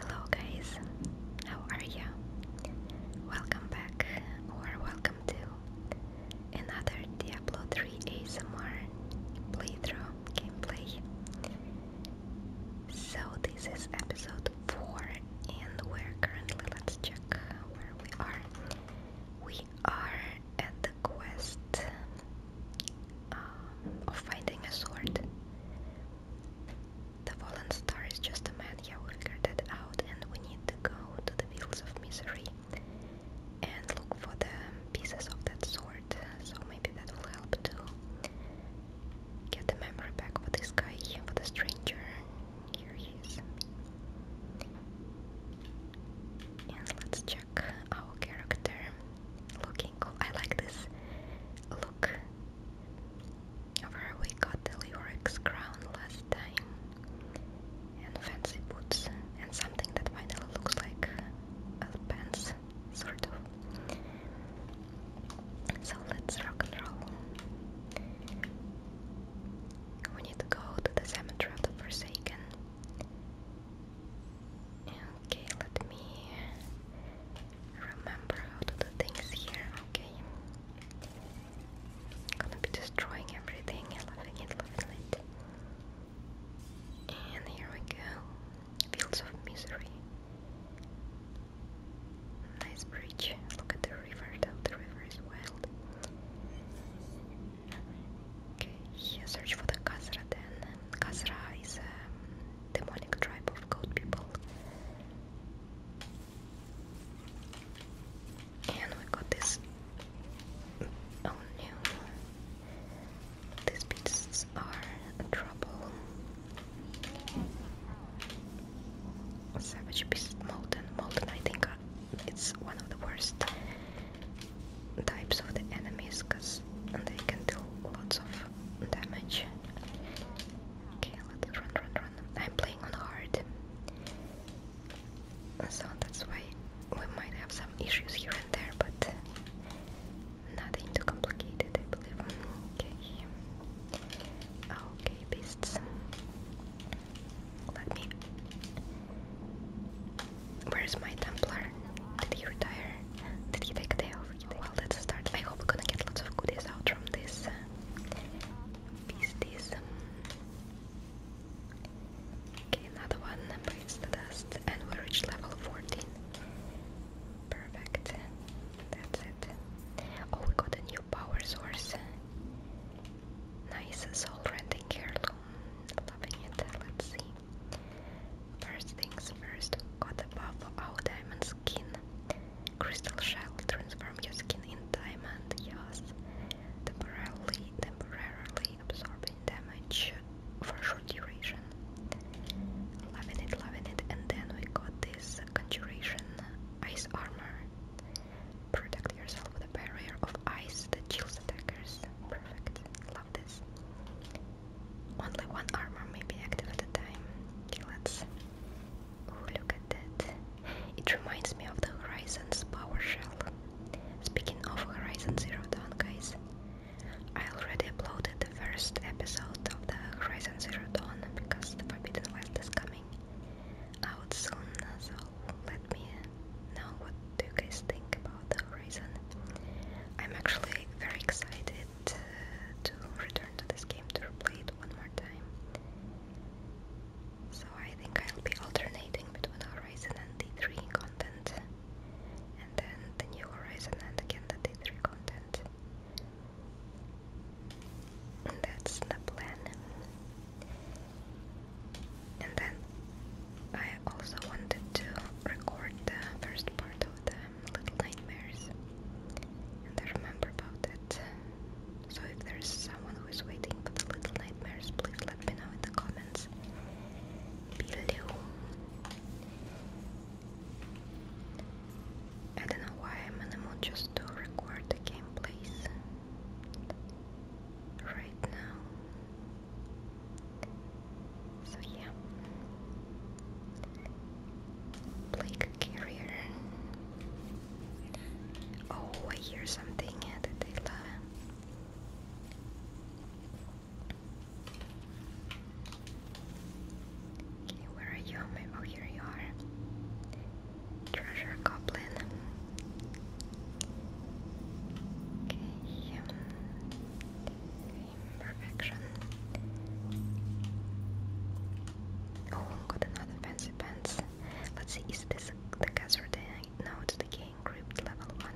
Hello guys, how are you? Welcome back or welcome to another Diablo 3 ASMR playthrough gameplay. So this is episode 4 and we're currently, let's check where we are. We are at the quest um, of finding a sword. The fallen star is just a man who figured it out, and we need to go to the fields of misery and look for the pieces of that sword. So maybe that will help to get the memory back for this guy, for the stranger. Here he is. And let's check our character. Look I like this look. Where we got the Lyrics crown last time, and fancy boots, and something that finally looks like pants, sort of. So let's rock and roll. We need to go to the cemetery of the Forsaken. Okay, let me remember how to do things here, okay? I'm gonna be destroying everything, loving it, loving it. And here we go. Fields of Misery. Nice bridge. Look at the river, The river is wild. Okay, yeah, search for the Khazra then. Khazra is a demonic tribe of goat people. And we got this. Oh no. These beasts are trouble. Savage Beast Molten. Molten, I think, it's one of the worst types of the enemies because they can do lots of damage. Okay, let's run, run, run. I'm playing on hard, so that's why we might have some issues here and there, but nothing too complicated, I believe. Okay, okay, beasts. Let me. Where's my Templar? Did he retire? Did he take a day off? Well, let's start. I hope we're gonna get lots of goodies out from this uh, beasties. Okay, another one breathes the dust, and we reach level 14. Perfect. That's it. Oh, we got a new power source. Nice soul renting heirloom. Loving it. Let's see. First things first, got the buff our diamond skin. Crystal shell transform your skin in diamond, yes. Temporarily, temporarily absorbing damage for short duration. Loving it, loving it, and then we got this conjuration ice armor. Protect yourself with a barrier of ice that chills attackers. Perfect, love this. Only one armor may be active at a time. Okay, let's Oh, look at that. It reminds me of the Horizon's PowerShell. Speaking of Horizon Zero Dawn, guys, I already uploaded the first episode of the Horizon Zero Dawn because the Forbidden West is coming out soon, so let me know what do you guys think about the Horizon. I'm actually very excited to return to this game to replay it one more time. So I think I'll be alternating between Horizon and D3 content, and then the new Horizon and again the D3 content. that's the plan. And then I also wanted to record the first part of the little nightmares. And I remember about it. So if there's someone who is waiting for the little nightmares, please let me know in the comments below. I don't know why I'm in the mood just to record the gameplays right now. So yeah. Blake Carrier. Oh, I hear something that Okay, where are you? Oh, here you are. Treasure Goblin. okay um, perfection. Oh, got another fancy pants. Let's see, is this the Kazar No, it's the King group level 1.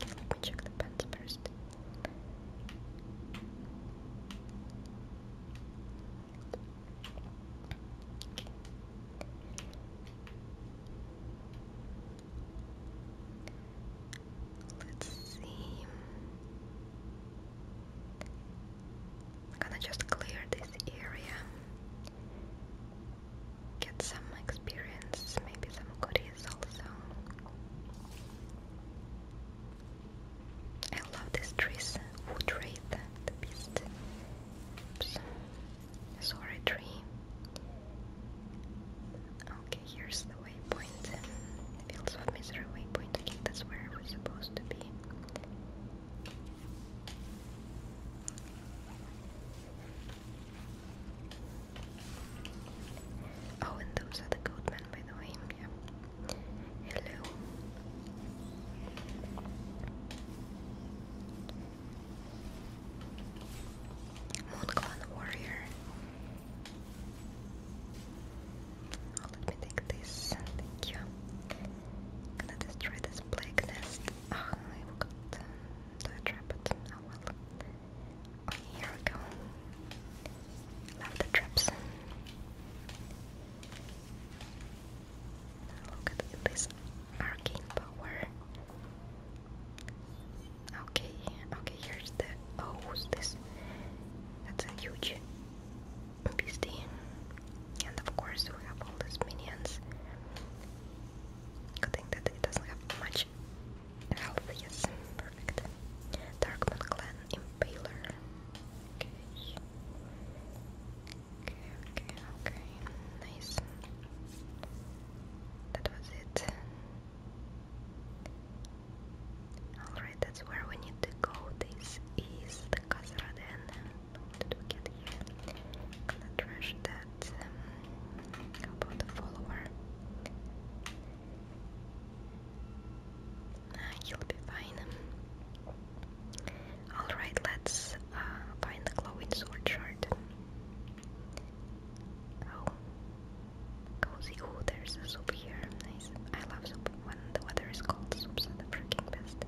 Let me check the pants first. Let's see. I'm gonna just clear this area, get some experience, maybe some goodies also. I love these trees, wood rate, the beast. Oops. Sorry, tree. Okay, here's the waypoint. Fields of Misery waypoint. I think that's where we're supposed to be. Oh, and those are the gold by the way. Yeah. Hello. Moon Warrior. Oh, let me take this. Thank you. I'm going this plague nest. Oh, ah, I forgot um, to trap it. Oh well. Oh, here we go. Love the Look at this arcane power. Okay, okay, here's the oh, who's this? That's a huge Beastie. And of course we have all these minions. Good thing that it doesn't have much health, yes, perfect. Darkman Clan Impaler. Okay, okay, okay. Nice. That was it. Alright right, that's where we need to go. This is the Khazraden. What did here? Gonna trash that. about um, the follower? Uh, will be fine. Alright, let's uh, find the glowing sword shard. Oh, cozy. Oh, there's a soup here. Nice. I love soup the weather is cold, soups are the freaking best.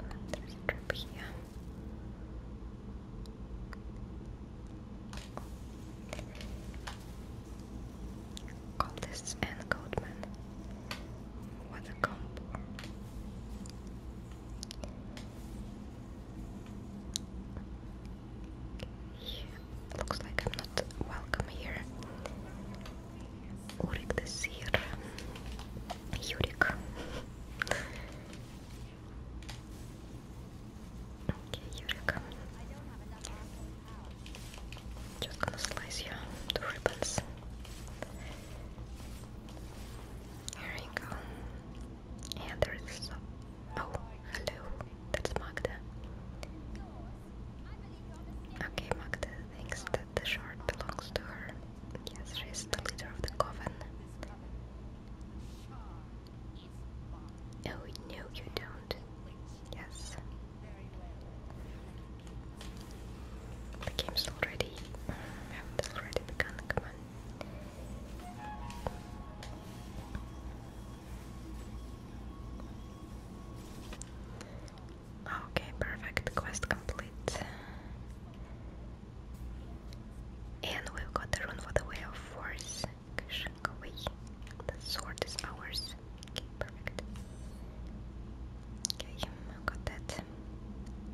Okay, there's a trap here. Cultists and Goatman. What a combo. Looks like I'm not welcome here. Urik the Seer. Yurik. okay, Yurik. Just gonna slice you to ribbons. Here you go. And there is some. Oh, hello. That's Magda. Okay, Magda thinks that the shard belongs to her. Yes, she's the leader of the coven. Oh, no, you don't. Yes. The game's already... Um, it's already begun, come on. Okay, perfect. Quest complete. And we've got the rune for the way of force. The sword is ours. perfect. Okay, got that.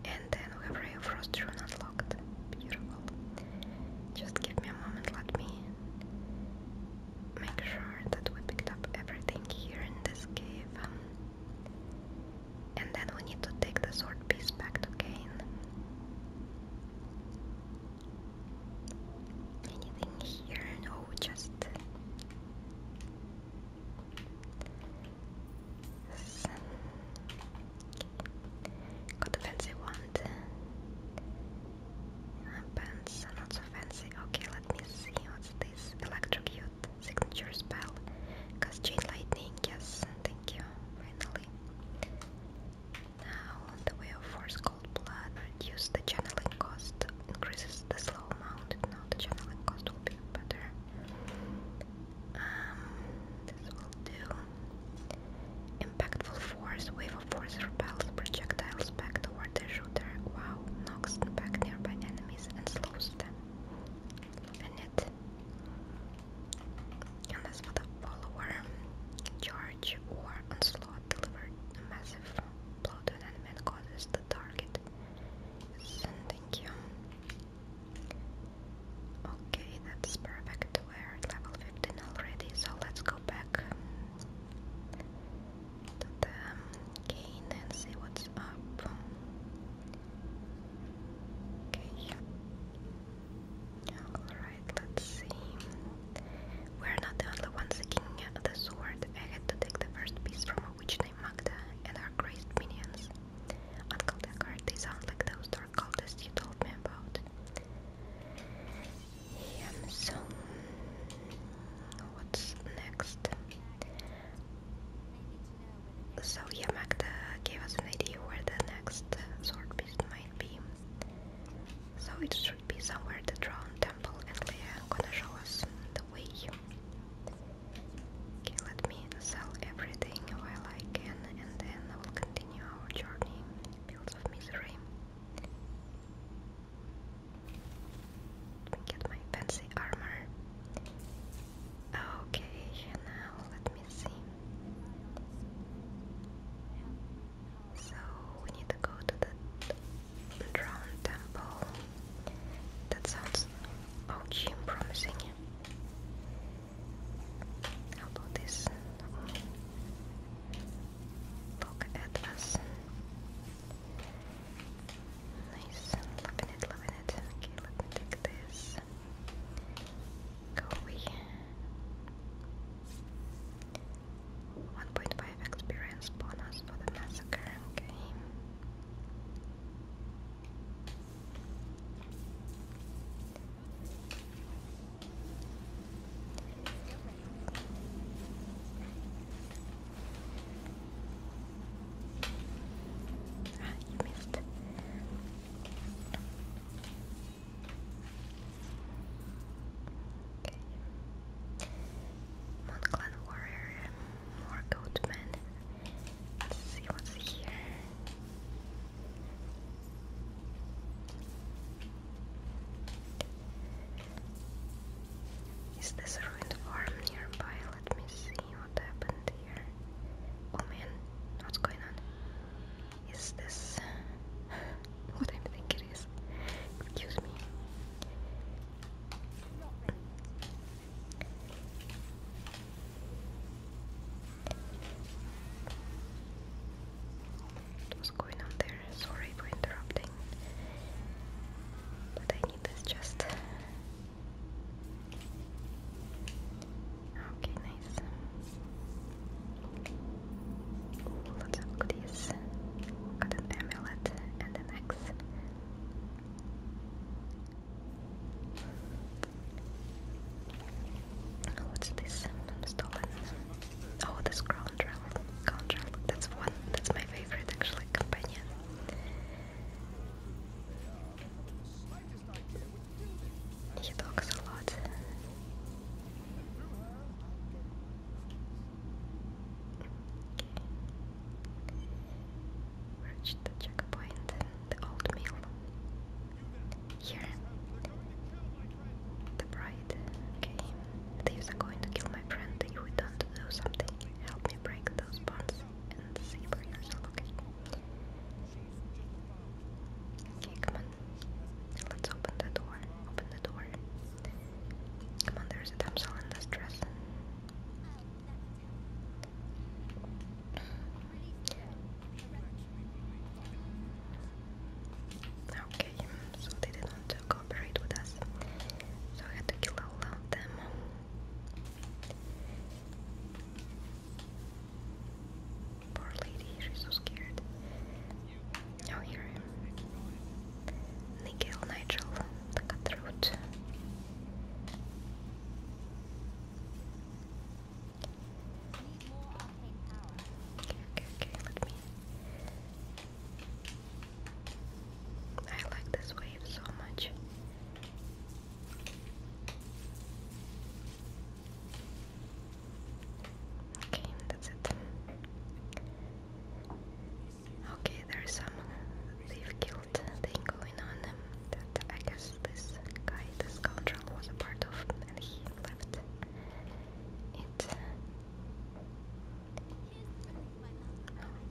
And then we have Ray of Frost rune unlocked. Beautiful. Just give me a moment, let me make sure that we picked up everything here in this cave. Um, and then we need to take the sword piece back to Anything here? No, just Got a fancy wand. Pants are not so fancy. Okay, let me see. What's this? Electrocute. Signature spell. Cause chain lightning. Yes, thank you. Finally. Now, the way of force cold blood. Reduce the channeling cost. Increases the slow amount. Now the channeling cost will be better. Um, this will do. Impactful force, wave of force repels projectiles back toward their shooter. Wow, knocks back nearby enemies and slows them. And that's for the follower. Charge or onslaught delivered a massive blow to an enemy and causes the target. sending thank you. Okay, that's perfect. We're at level 15 already, so let's go back to gain and see what's up. Okay. Alright, let's see. We're not the only ones seeking the sword. I had to take the first piece from a witch named Magda and her crazed minions. Uncle Deckard, sound like those dark cultists you told me about so what's next? So yeah, gave us an idea where the next uh, sword piece might be. So it should be somewhere the Drown Temple and Leia gonna show us the way. Okay, let me sell everything I can and then I will continue our journey. Fields of Misery. Get my fancy armor. Okay, now let me see. So we need to go to the drone temple. That sounds OG and promising. How about this? Look at Nice. Loving it, loving it. Okay, let me take this. Go away. 1.5 experience bonus for the massacre. Okay. Ah, you Warrior, more Goatman. Let's see what's here. Is this a ruined farm nearby? Let me see what happened here. Oh man, what's going on? Is this what I think it is? Excuse me. What's going on there? Sorry for interrupting. But I need this chest. Okay, nice. Ooh, lots of goodies. Got an amulet and an axe. Oh, what's this? Oh, this crown drill. Crown drill. That's one. That's my favorite actually la campaña. He talks the checkpoint, the old mill. Here, the bride. Okay, thieves are going to kill my friend. You return to do something. Help me break those bonds and see for yourself, okay? Okay, come on. Let's open the door. Open the door. Come on, there's a damsel in distress. Okay, so they didn't cooperate with us. So I had to kill all of them. Poor lady, she's so scared. Oh, here I am. Nigel, the cutthroat. okay, okay, let me I like this wave so much. Okay, that's it. Okay, there's some thief guild thing going on. That I guess this guy, this scoundrel, was a part of, and he left it.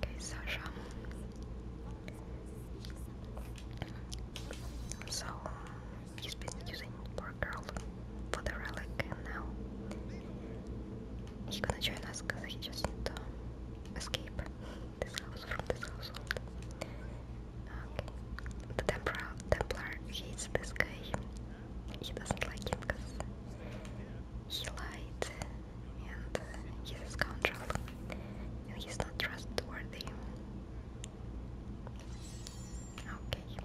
Okay, Sasha. So he's been using poor girl for the relic, and now he's gonna join us because he just need um, to escape this house from this household. Okay, the Templar, Templar hates this guy. He doesn't like him because he lied and he's a scoundrel he's not trustworthy. Okay.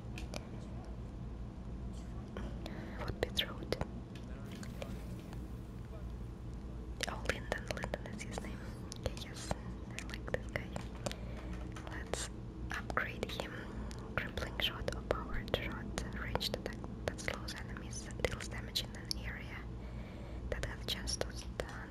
What bit road? Oh, Linden, Linden is his name. Okay, yes, I like this guy. Let's upgrade him. Crippling shot or shot, ranged attack that slows an enemies deals damage in an area that has just done.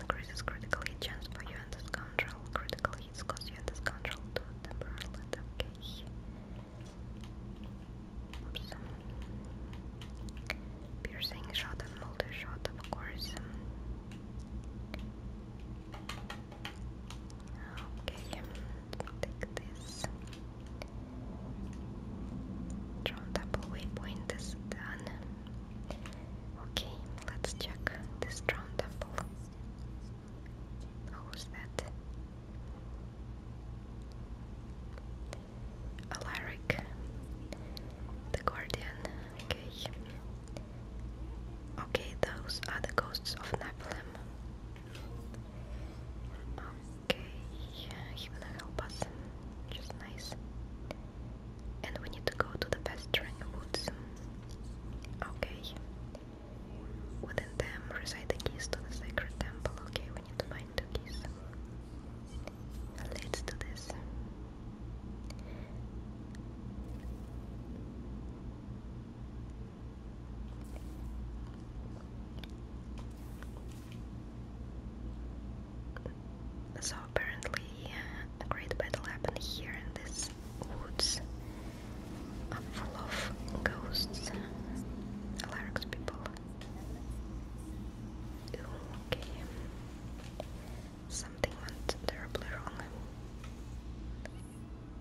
Increases critical hit chance for you and this control. Critical hits cause you and this control to temporarily okay. Oops. Piercing shot and multi shot, of course. Okay, take this. Drone double waypoint is done. Okay, let's check this drone double. Who's that? Alaric, the Guardian. Okay. Okay, those are the ghosts of Nephilim. Okay, yeah, he will help us, which nice. And we need to go to the pestering woods. Okay. Within them reside the keys to the sacred temple. Okay, we need to find the keys. Let's do this. So apparently a great battle happened here in this woods full of ghosts, Larynx people. okay. Something went terribly wrong.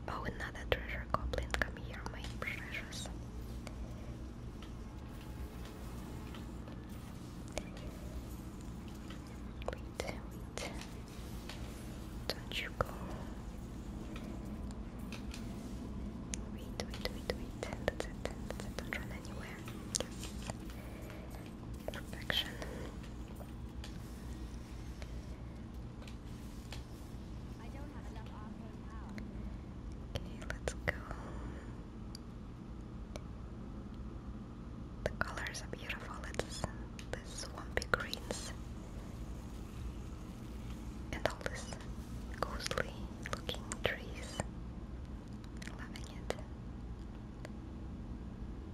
Oh, another treasure goblin, come here, my precious. Wait, wait. Don't you go. Wait, wait, wait, wait. Don't run anywhere. Perfection. Okay, let's go. The colors are beautiful. It's the swampy greens and all this ghostly looking trees. Loving it.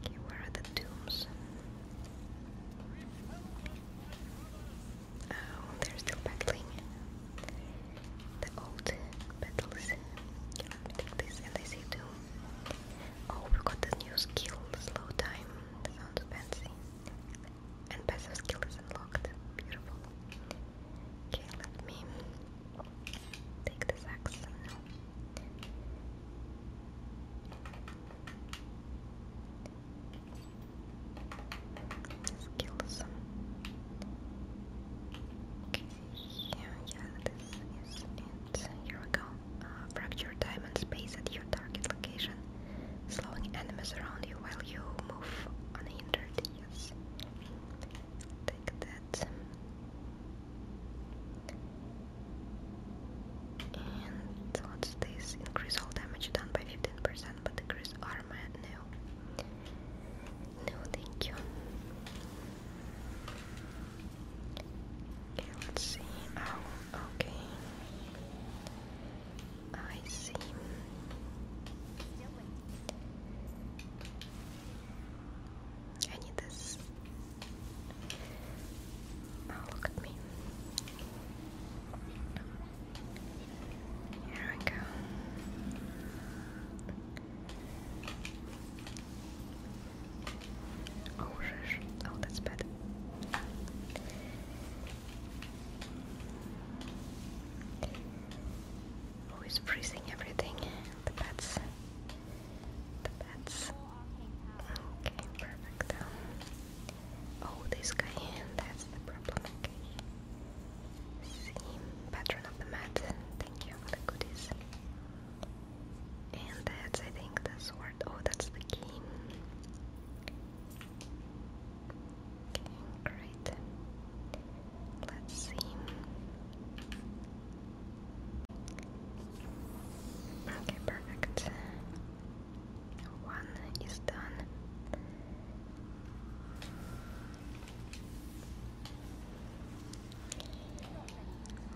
Okay, where are the tombs? Oh, they're still battling. The old battles. Can I take this? And I see two. Oh, we got the new skill, slow time. sounds fancy. And passive skill is unlocked. Beautiful. Okay, let me take this axe let Okay, yeah, this is it. Here we go. Uh, fracture time space at your target location, slowing enemies around you while you move unhindered. Yes. Take that. And what's this? Increase all damage done by 15%, but decrease armor? No. No, thank you. Okay, let's see. Oh, okay. I see. I need this Oh, look at me. Here we go. Oh, oh, that's bad. Who is freezing everything? The pets. The pets. Okay, perfect. Oh, this guy, that's the problem. Okay. See, of the mat. Thank you for the goodies. And that's, I think, the sword. Oh, that's the key. Okay, great. Let's see. Okay, perfect. One is done.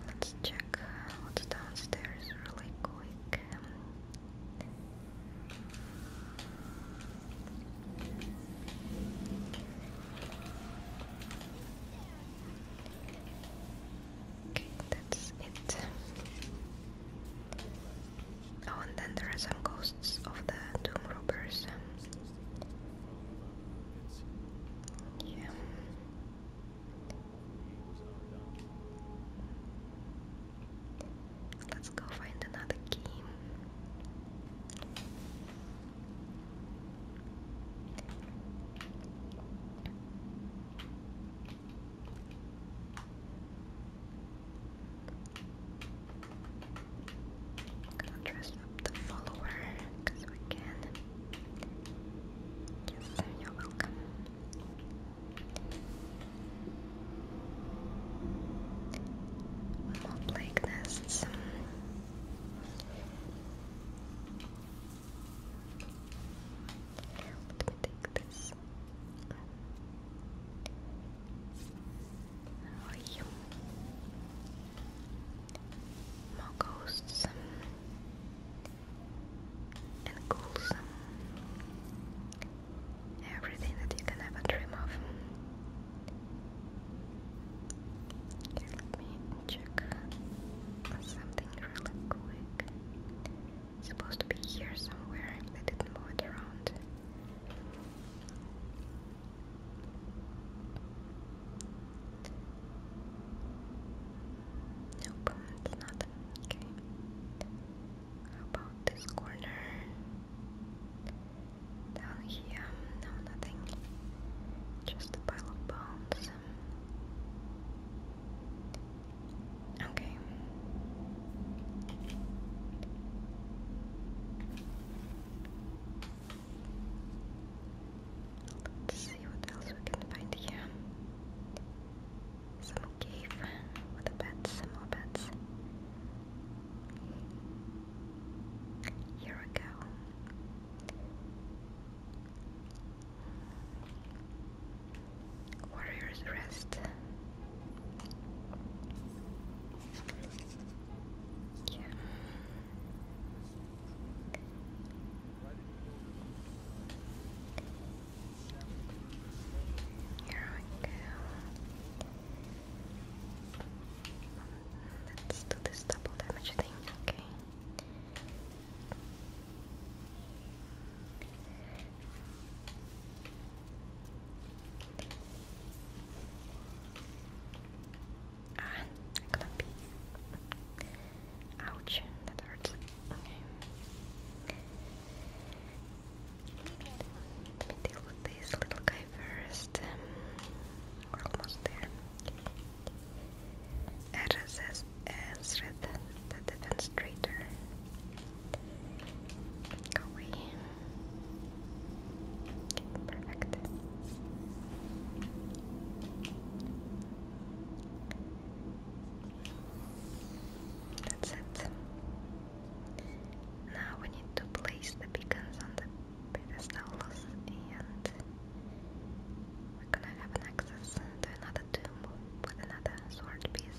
Let's check what's downstairs really quick. Okay, that's it. Oh, and then there are some ghosts of the tomb robbers. Yeah. Let's go find another key i the follower because we can. you're welcome. more plague nests. Let me take this. How you? More and ghouls. Everything that you can ever dream of. let me check something really quick supposed to be here somewhere. They didn't move around. Nope, it's not. Okay. about this corner? Down here, no, nothing. Just a pile of bones. Okay. Let's see what else we can find here. Some cave more bats. Here we go. Warriors rest. Yeah. Here we go. Let's do this double damage thing, okay? Ah, I got Ouch, that hurts. Let me deal with this little guy first. Um, we're almost there. RSS Esrith, the demonstrator. away. perfect. That's it. Now we need to place the beacons on the pedestals and we're gonna have access to another tomb with another sword piece.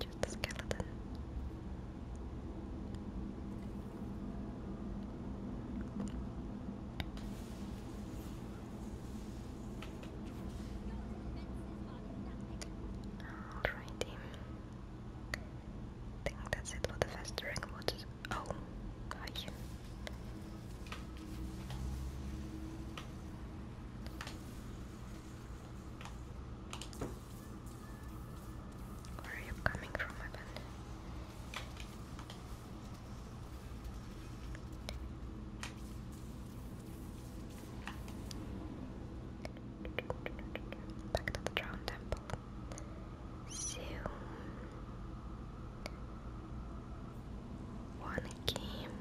Just a skeleton. Alrighty. I think that's it for the festering wood. Oh, gosh. Where are you coming from, my Back to the Drowned Temple. So, one game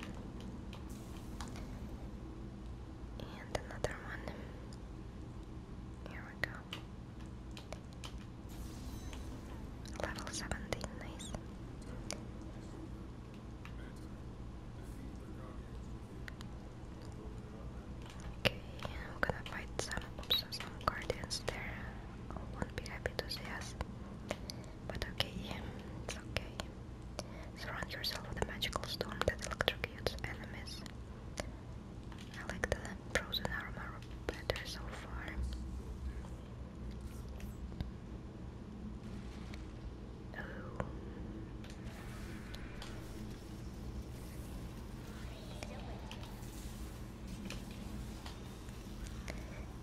and another one. Here we go. Level 17, nice. Okay, I'm gonna fight some some guardians there. won't be happy to see us. But okay, it's okay. Surround yourself with a magical stone that electrocutes enemies. I like the frozen armor better so far. Oh.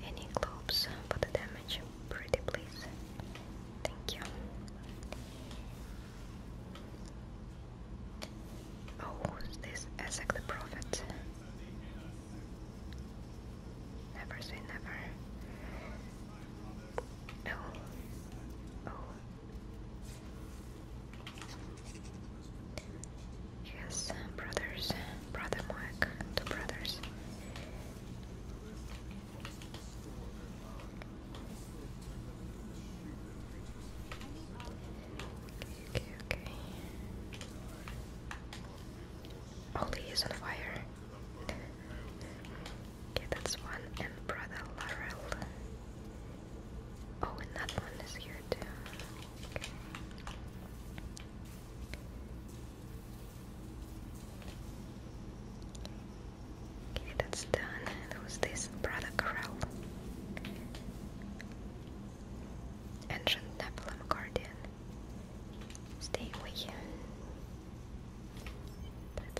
Any globes for the damage? Pretty please. Thank you. Oh, is this Ezek the Prophet? Never say never. No. Oh. Yes, brothers. Brother Mark. Two brothers. Okay, okay. Oli is on fire. okay, that's one. And brother Laurel. Oh, and that one is here too. Okay, that's done. And who's this? Brother Crow? Ancient Nephilim Guardian. Stay with him. it.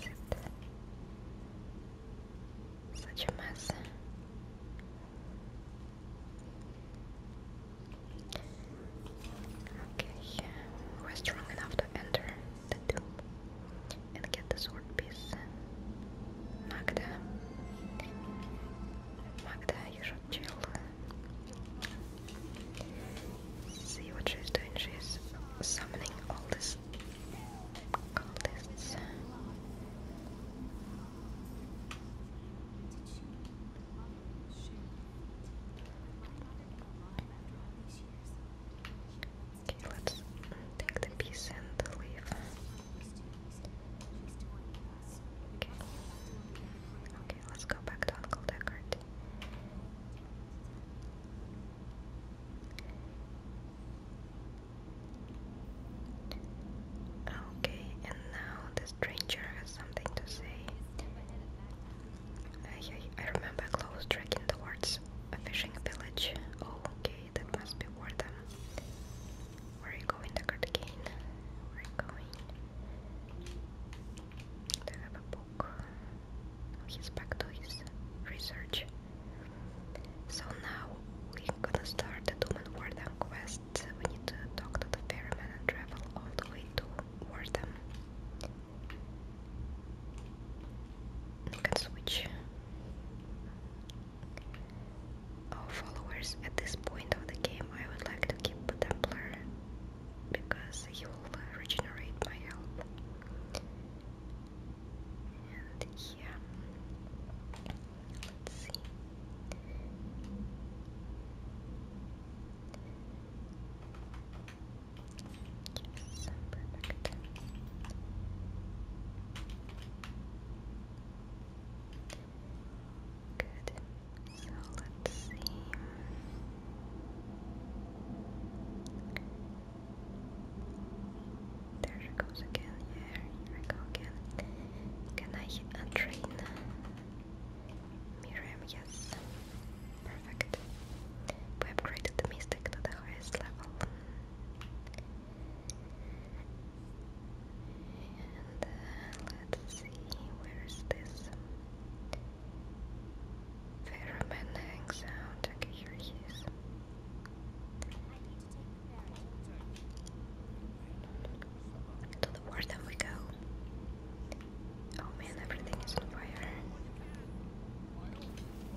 Such a mess. Okay, we're strong enough to enter the tomb and get the sword piece. Magda. Magda, you should chill. See what she's doing. She's summoning all these cultists. Okay, let's take the piece and the leaf. Okay. Okay, let's go back to Uncle Deckard. Okay, and now the stranger has something to say. I, I, I remember close the words. a fishing village. Oh, okay that must be where the where are you going the again? Where are you going? Do have a book? he's back to his research. So now we're gonna start the Doom and Wardam quest. We need to talk to the ferryman and travel all the way to Wardam. can switch. Oh, followers, at this point of the game, I would like to keep the Templar because he will uh, regenerate my health. And yeah, let's see. Yes, perfect. Good. So let's see. There she goes again. Yeah, here I go again. Can I untrain Miriam? Yes. Perfect. We upgraded the Mystic to the highest level. Uh, let's see, where is this Ferryman hangs out. Okay, here he is. To the war then we go. Oh man, everything is on fire.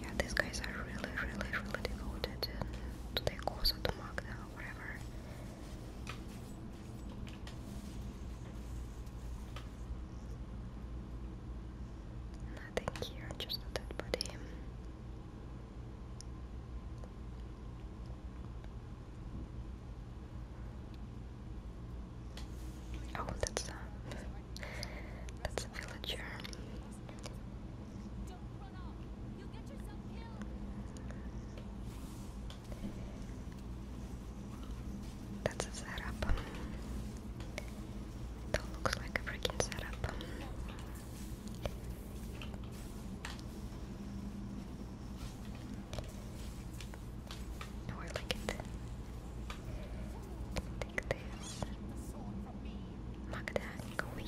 Yeah, these guys are really, really, really devoted to their cause or to Magda or whatever. Nothing here, just a dead body. Oh, that's a uh, that's a villager. That's a setup. That looks like a freaking setup. Or like Take this. Mark that Come on,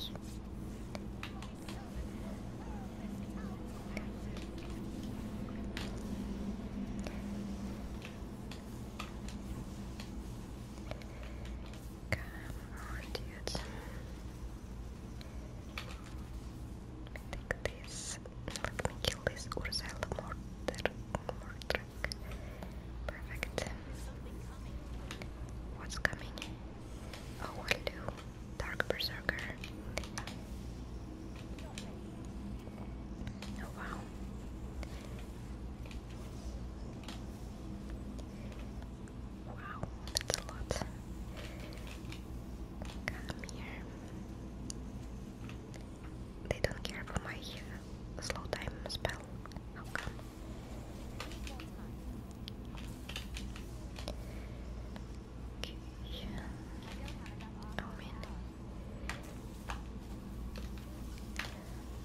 dude. Take this. Let me kill this Ursula Mortar back. Perfect. What's coming? Oh, what'll do? Dark Berserker. Oh, wow. Wow, that's a lot. Come here they don't care for my uh, slow time spell. How come? Oh,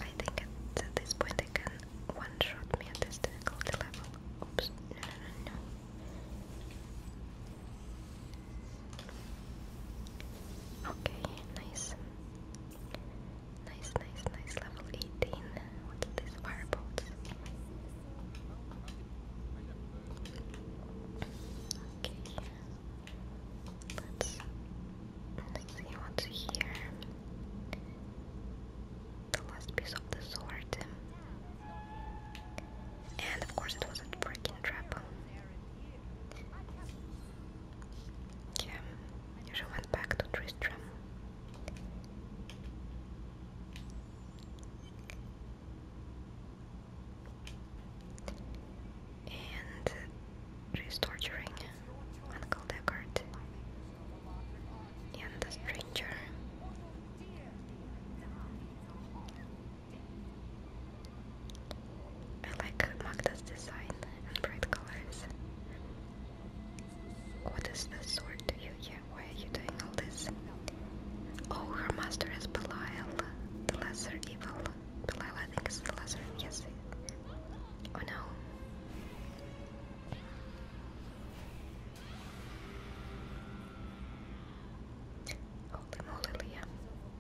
I think at this point they can one-shot me at this difficulty level. Oops. no, no, no. Okay, nice. Nice, nice, nice. Level 18. What's this? Firebolt. Okay. Let's see what's here. The last piece of the sword. And of course, it was a freaking trap. Yeah, she went back to Tristram. And she's torturing Uncle Deckard and the stranger. I like Magda's design and bright colors. What is the sword to you? Yeah, why are you doing all this? Oh, her master is Belial, the lesser evil. Belial, I think, is the lesser. Yes. Oh no. Holy moly, Leah.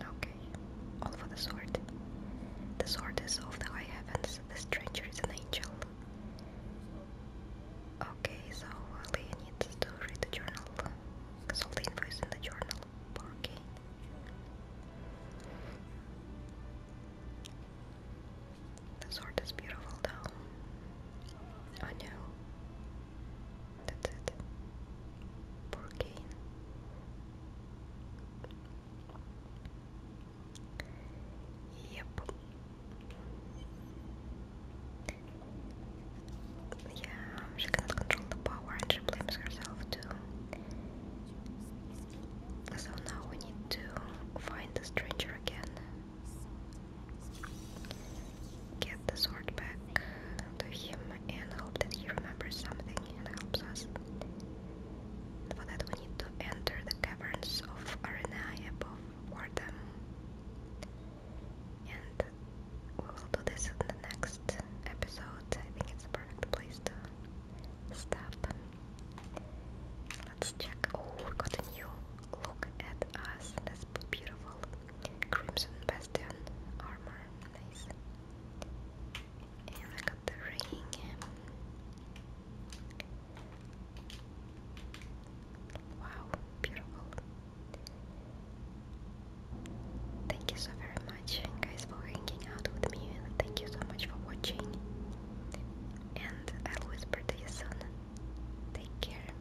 Okay, all for the sword. The sword is of the high heavens, the stranger is an angel. Okay, so uh, Leah needs to read the journal, because all the info is in the journal. Okay. The sword is beautiful though. I know. That's it. Poor Kane. Yep. Yeah, she cannot control the power and she blames herself too. So now we need to find the stranger again get the sword back to him and hope that he remembers something and helps us. For that we need to enter the caverns of Arenai above Wardam. And we will do this in the next episode. I think it's a perfect place to stop. Let's check. Oh, we new look at us. That's beautiful. Crimson Bastion armor, nice. And I got the ring. Wow, beautiful. Thank you so very much, guys, for hanging out with me, and thank you so much for watching. And I'll whisper to you soon. Take care.